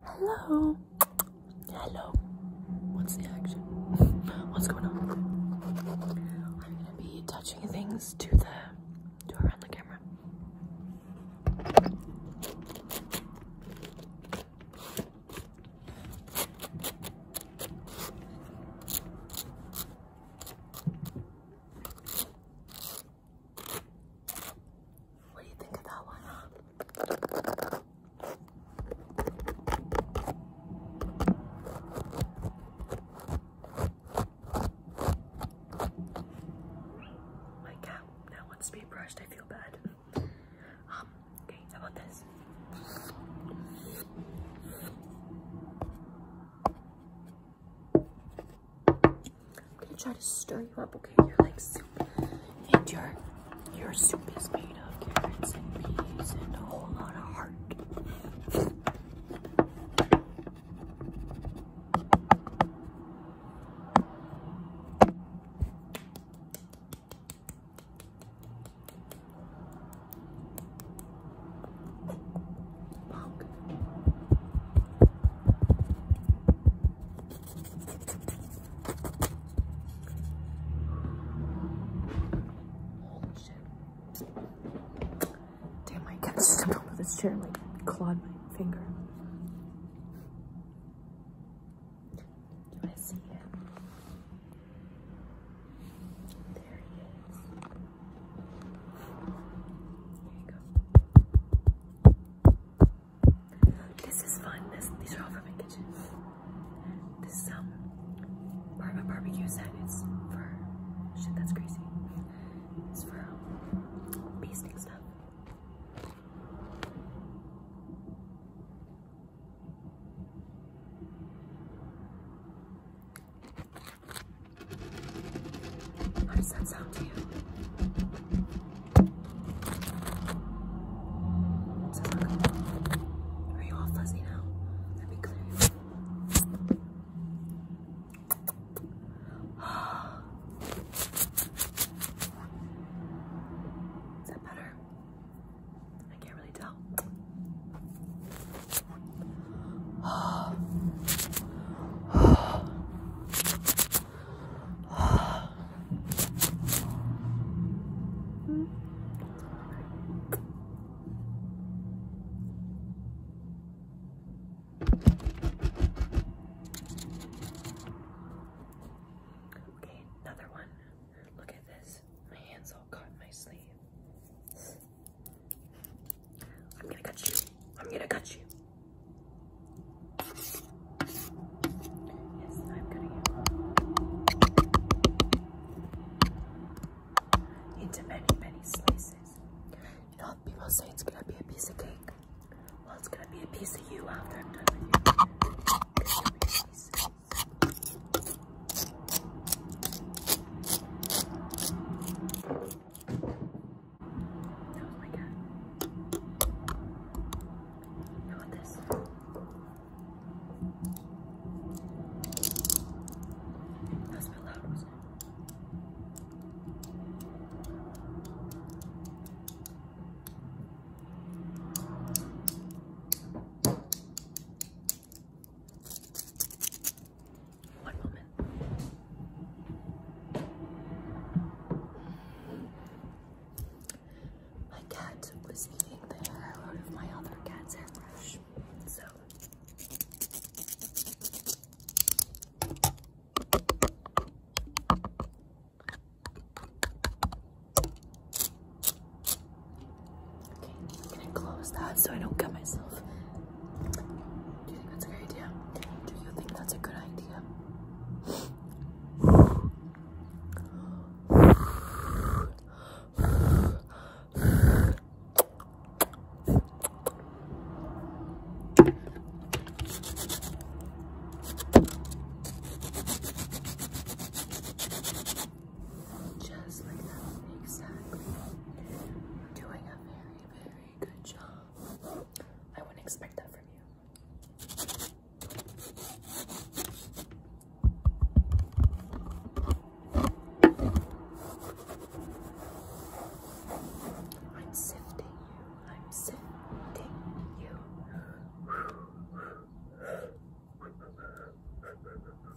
Hello. Hello. What's the action? What's going on? I'm gonna be touching things to the to around the camera. What do you think of that one? My cat now wants to be brushed. I feel bad. Um, okay, how about this? I'm gonna try to stir you up, okay? You're like soup, and your your soup is made of carrots and peas and a whole lot of heart. Holy shit. Damn, I can't stepped over this chair and like clawed my finger. Do I see it? There he is. There you go. This is fun. these are all from my kitchen. This is some um, part of my barbecue set. It's for shit. That's crazy. It's for um, basting stuff. How does that sound to you? Does that sound good? Are you all fuzzy now? Let me clear you Is that better? I can't really tell. Okay, another one. Look at this. My hands all caught in my sleeve. I'm gonna cut you. I'm gonna cut you. into many, many slices. You people say it's gonna be a piece of cake. Well, it's gonna be a piece of you after I'm done with you. That was my cat. How about this? That was a bit loud, wasn't it? One moment. My cat was eating the hair out of my other cat's hairbrush, so. Okay, I'm gonna close that so I don't cut myself. Do you think that's a good idea? Do you think that's a good idea? Just like that, exactly. doing a very, very good job. I wouldn't expect that from you. I'm sifting you. I'm sifting you.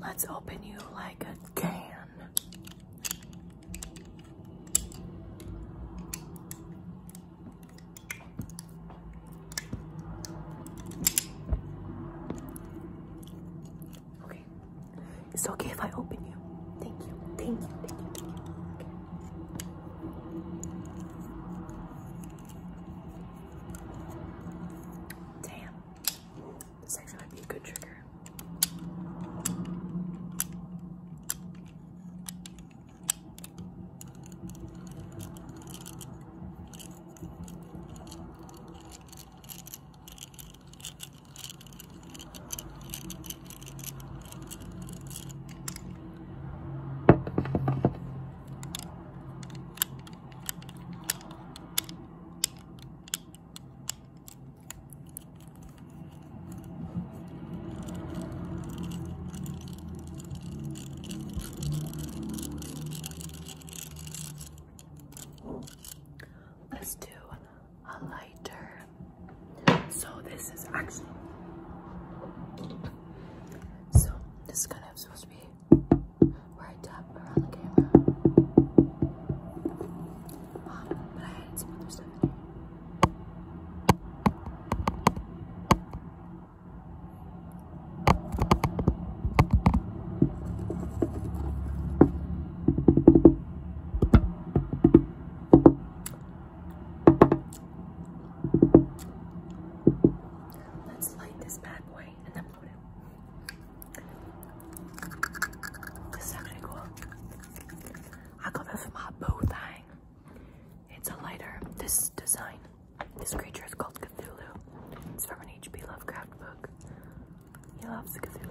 Let's open you like a can. Okay. It's okay if I open you. Thank you. Thank you. Thank you. Thank you. Damn. This actually might be a good trigger. Let's do a lighter. So this is actually so this color is supposed to be where I tap around the camera. Um, but I had some other stuff in Let's light this bad boy and then blow it. This is actually cool. I got this my bow thing. It's a lighter. This design, this creature is called Cthulhu. It's from an H.P. Lovecraft book. He loves Cthulhu.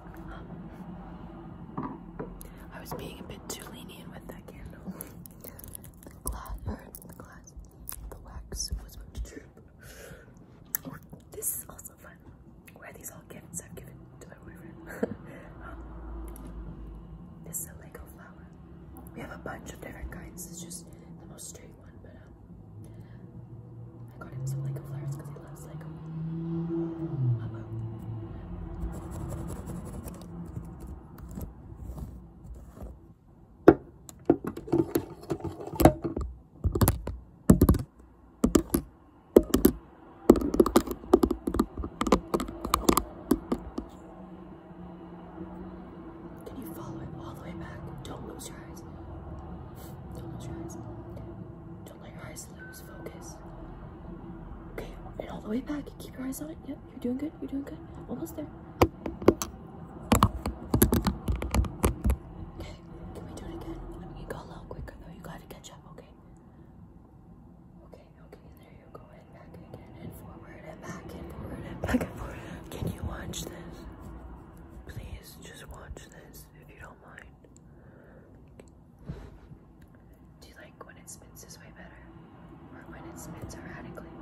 I was being a bit too lenient with that candle. The glass, the glass, the wax was about to drip. this is also fun. Where these all gifts I've given to my boyfriend. Um, this is a Lego flower. We have a bunch of different kinds. It's just the most straight one, but um, I got him some Lego flowers because he loves Lego. you follow it all the way back? Don't lose your eyes. Don't lose your eyes. Don't let your eyes lose focus. Okay, and all the way back. Keep your eyes on it. Yep, you're doing good. You're doing good. Almost there. Okay, can we do it again? I mean, you go a little quicker though. You gotta catch up, okay? Okay, okay, there you go. And back again, and forward, and back, and forward, and back, and forward. Can you watch this? Please, just watch this if you don't mind. Do you like when it spins this way better? Or when it spins erratically?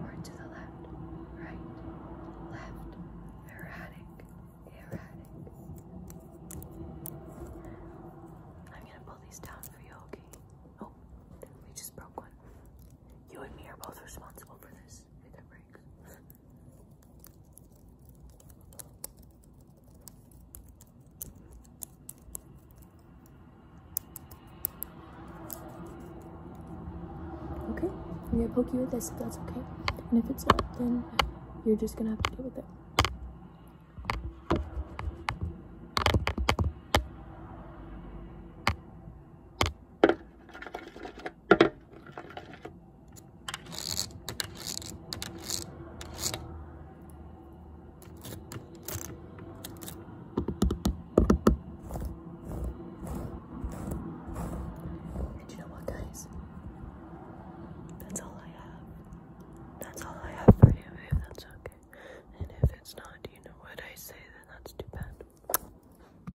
Or to the left, right, left, erratic, erratic. I'm gonna pull these down for you, okay? Oh, we just broke one. You and me are both responsible for this. Okay, I'm gonna poke you with this if that's okay. And if it's not, then you're just gonna have to deal with it. And you know what, guys? That's all I have. That's all I have for you, if that's okay. And if it's not, you know what I say, then that's too bad.